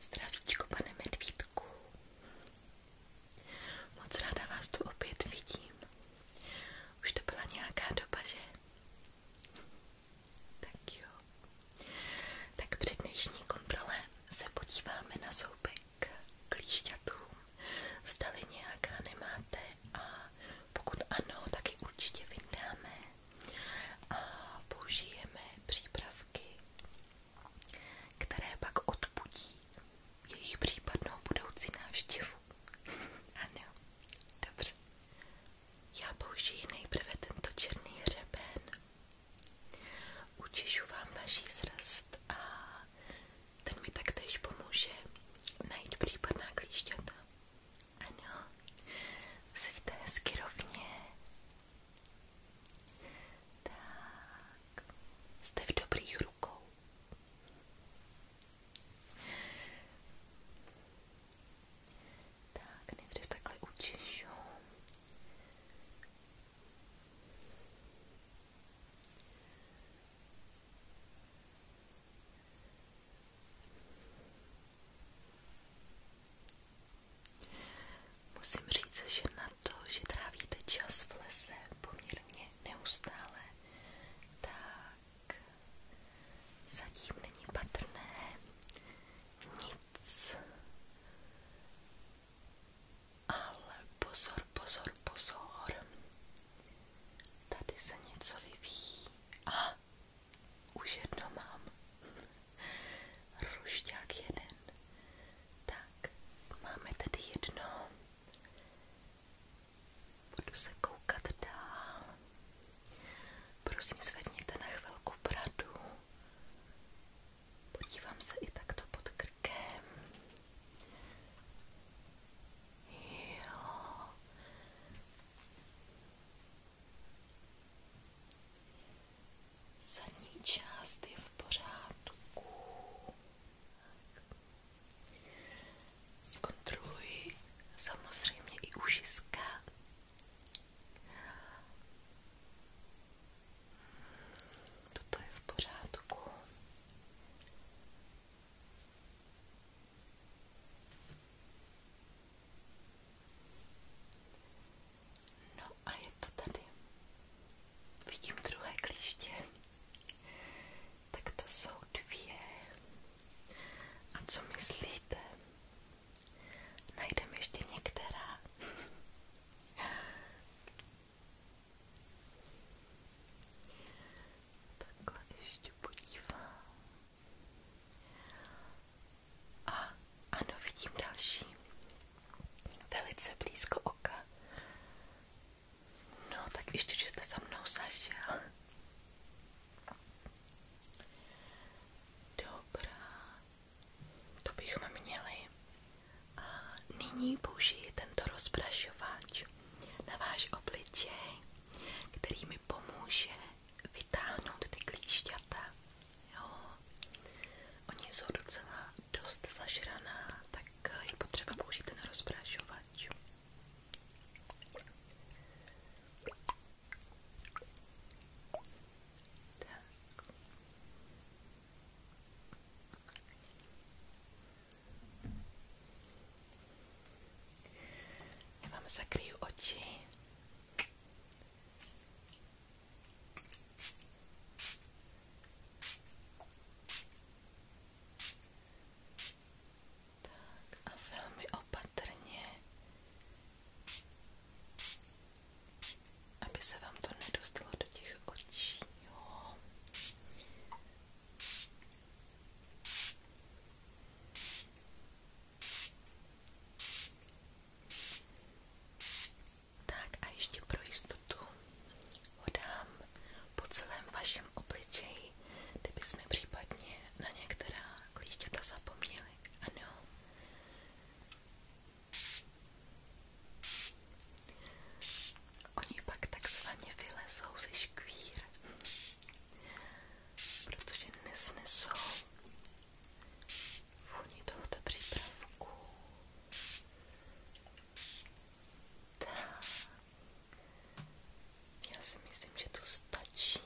Zdravíčko, pane medvídku. Moc ráda vás tu opět vidím. Už to byla nějaká doba, že? Tak jo. Tak při dnešní kontrole se podíváme na zoubek klíšťatům. Zdali nějaká nemáte a pokud ano, tak ji určitě vydáme a použijeme přípravky, které pak odpudí jejich případnou budoucí návštěvu. Ano, dobře. Já použiji nejprve tento černý hřeben. Učišu vám naší srst a ten mi taktéž pomůže najít případná klíšťata. Ano, seďte hezky rovně. Tak, jste v dobrých rukou. Tak, nejdřív takhle učešu. Musím říct, že na to, že trávíte čas v lese poměrně neustále, tak zatím není patrné nic. Ale pozor, pozor, pozor. Tady se něco vyvíjí. A už jedno mám. Rušťák jeden. Tak, máme tady jedno. Budu se koukat dál. Prosím, zvedněte na chvilku bradu. Podívám se i takto pod krkem. Jo. Zadní část je v pořádku. Zkontroluji samozřejmě i ušiska. Toto je v pořádku. No a je to tady. Vidím druhé klíště. Tak to jsou dvě. A co myslíte? Najdeme ještě některá. Takhle ještě podívám ano, vidím další. Velice blízko oka. No, tak ještě, že jste za mnou zašel. Dobrá. To bychom měli. nyní použiji tento rozprašovač na váš obličej, kterým mi pomůže vytáhnout ty klíšťata. Jo. Oni jsou docela dost zažraná, tak eh, je potřeba použít ten rozprášovač. Tak. Já vám zakryju oči tak a velmi opatrně, aby se vám to nedostalo do těch očí. Jo. Tak a ještě pro jistotu ho dám po celém vašem obličeji, kdyby jsme případně na některá klíšťata zapomněli. Ano. Oni pak takzvaně vylezou ze škvír protože nesnesou vůni tohoto přípravku. Tak. Já si myslím, že to stačí.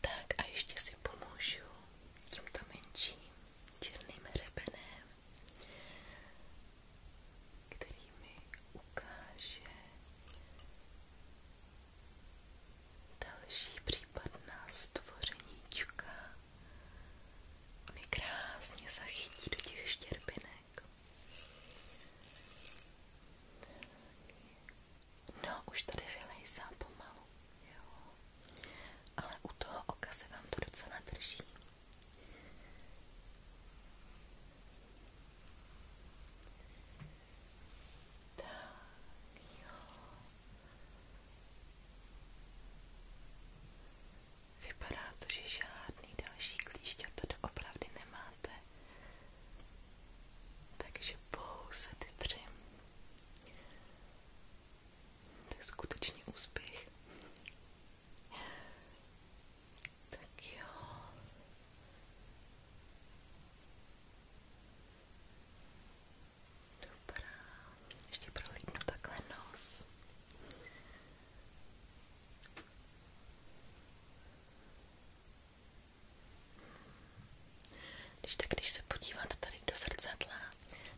Tak a ještě si pomůžu tímto menším černým hřebenem, který mi ukáže Další případná stvořeníčka. Ony krásně zachytí do těch štěrbinek. No, už tady vylejzá pomalu, jo. Ale u toho oka se vám to docela drží. Tak jo. Vypadá to, že žádný další klíšťa tady opravdu nemáte. Takže pouze ty tři. To je skutečně úspěch. Tak jo. Dobrá. Ještě prohlídnu takhle nos. Když tak, když se podíváte tady do zrcadla,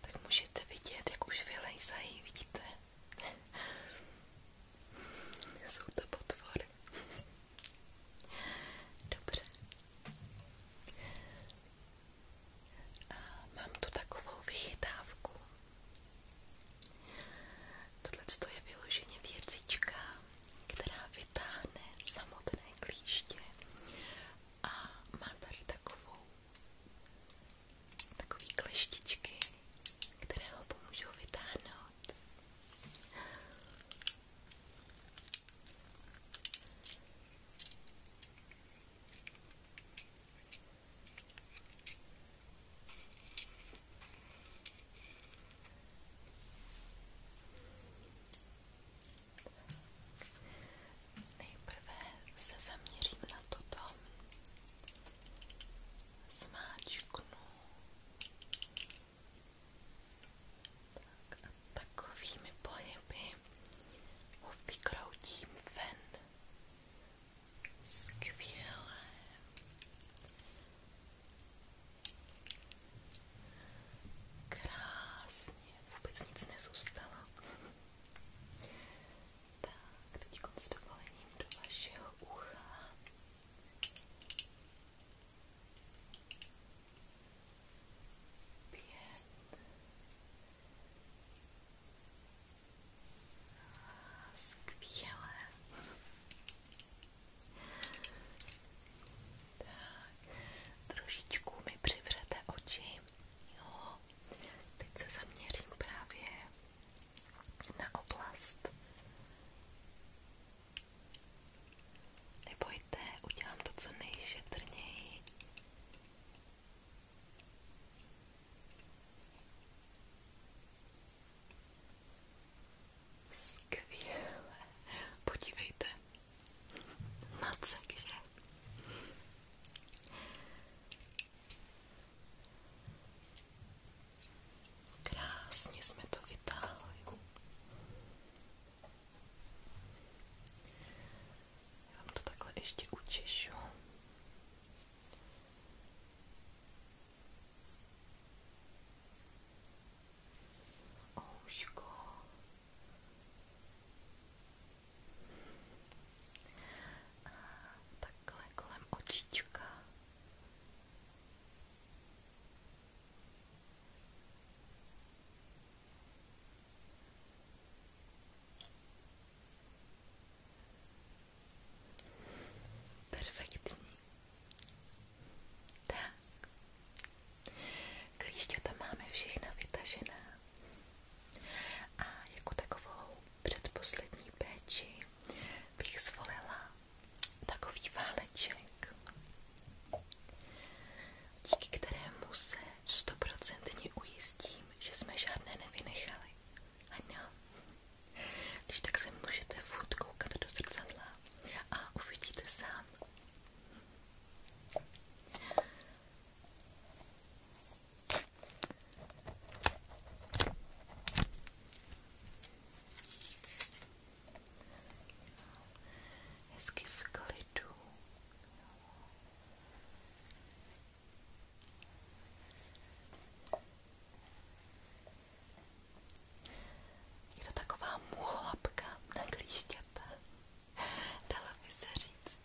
tak můžete vidět, jak už vylejzají, vidíte? Jsou to potvory. Dobře. A mám tu takovou vychytávku. Tohle je vyloženě věcička, která vytáhne samotné klíště a má tady takovou takový kleštičky, které ho pomůžou vytáhnout. Nejprve se zaměřím na toto. Zmáčknu tak a takovými pohyby ho vykroutím ven. Skvělé. Krásně, vůbec nic nezůstalo. Tak, teď s dovolením do vašeho ucha pět skvělé tak, trošičku mi přivřete oči jo, teď se zaměřím právě na oblast Nebojte, udělám to co nejšetrněji. Skvěle. Podívejte. Macek, že? Krásně jsme to vytáhli. Já vám to takhle ještě učišu. Ouško. A takhle kolem očička. Perfektní. Tak. Klíště tam máme všechna vytažená. A jako takovou předposlední péči bych zvolila takový váleček, díky kterému se stoprocentně ujistím, že jsme žádné nevynechali. Ano. Když tak se můžete furt koukat do zrcadla a uvidíte sám hezky v klidu. Je to taková mucholapka na klíšťata, dala by se říct.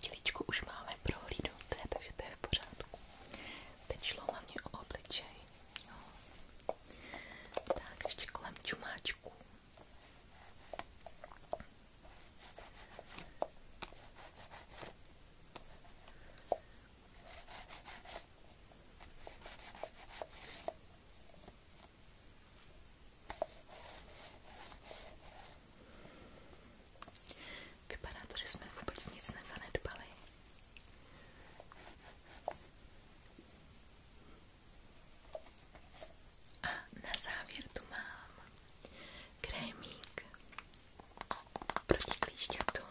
Těličko už máme prohlídnuté, takže to je v pořádku. Teď šlo hlavně o obličej. Jo. Tak, ještě kolem čumáčků. Vypadá to, že jsme vůbec nic nezanedbali. A na závěr tu mám krémík proti klíšťatům.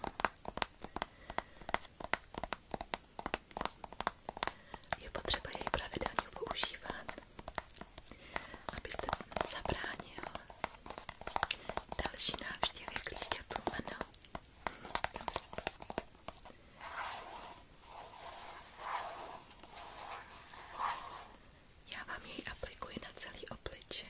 Je potřeba jej pravidelně používat, abyste zabránil Další návštěvy klíšťatů, ano. Já vám jej aplikuji na celý obličej.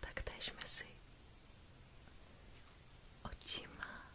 Taktéž mezi očima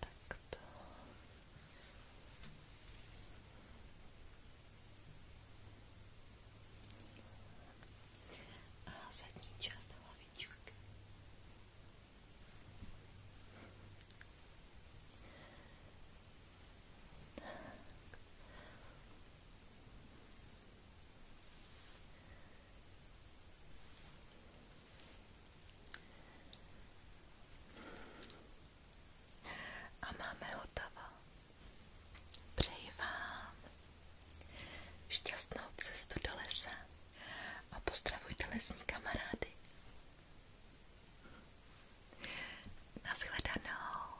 Так то. А задний часто ловичок. Так. Так. A máme hotovo. Přeji vám šťastnou cestu do lesa a pozdravujte lesní kamarády. Naschledanou.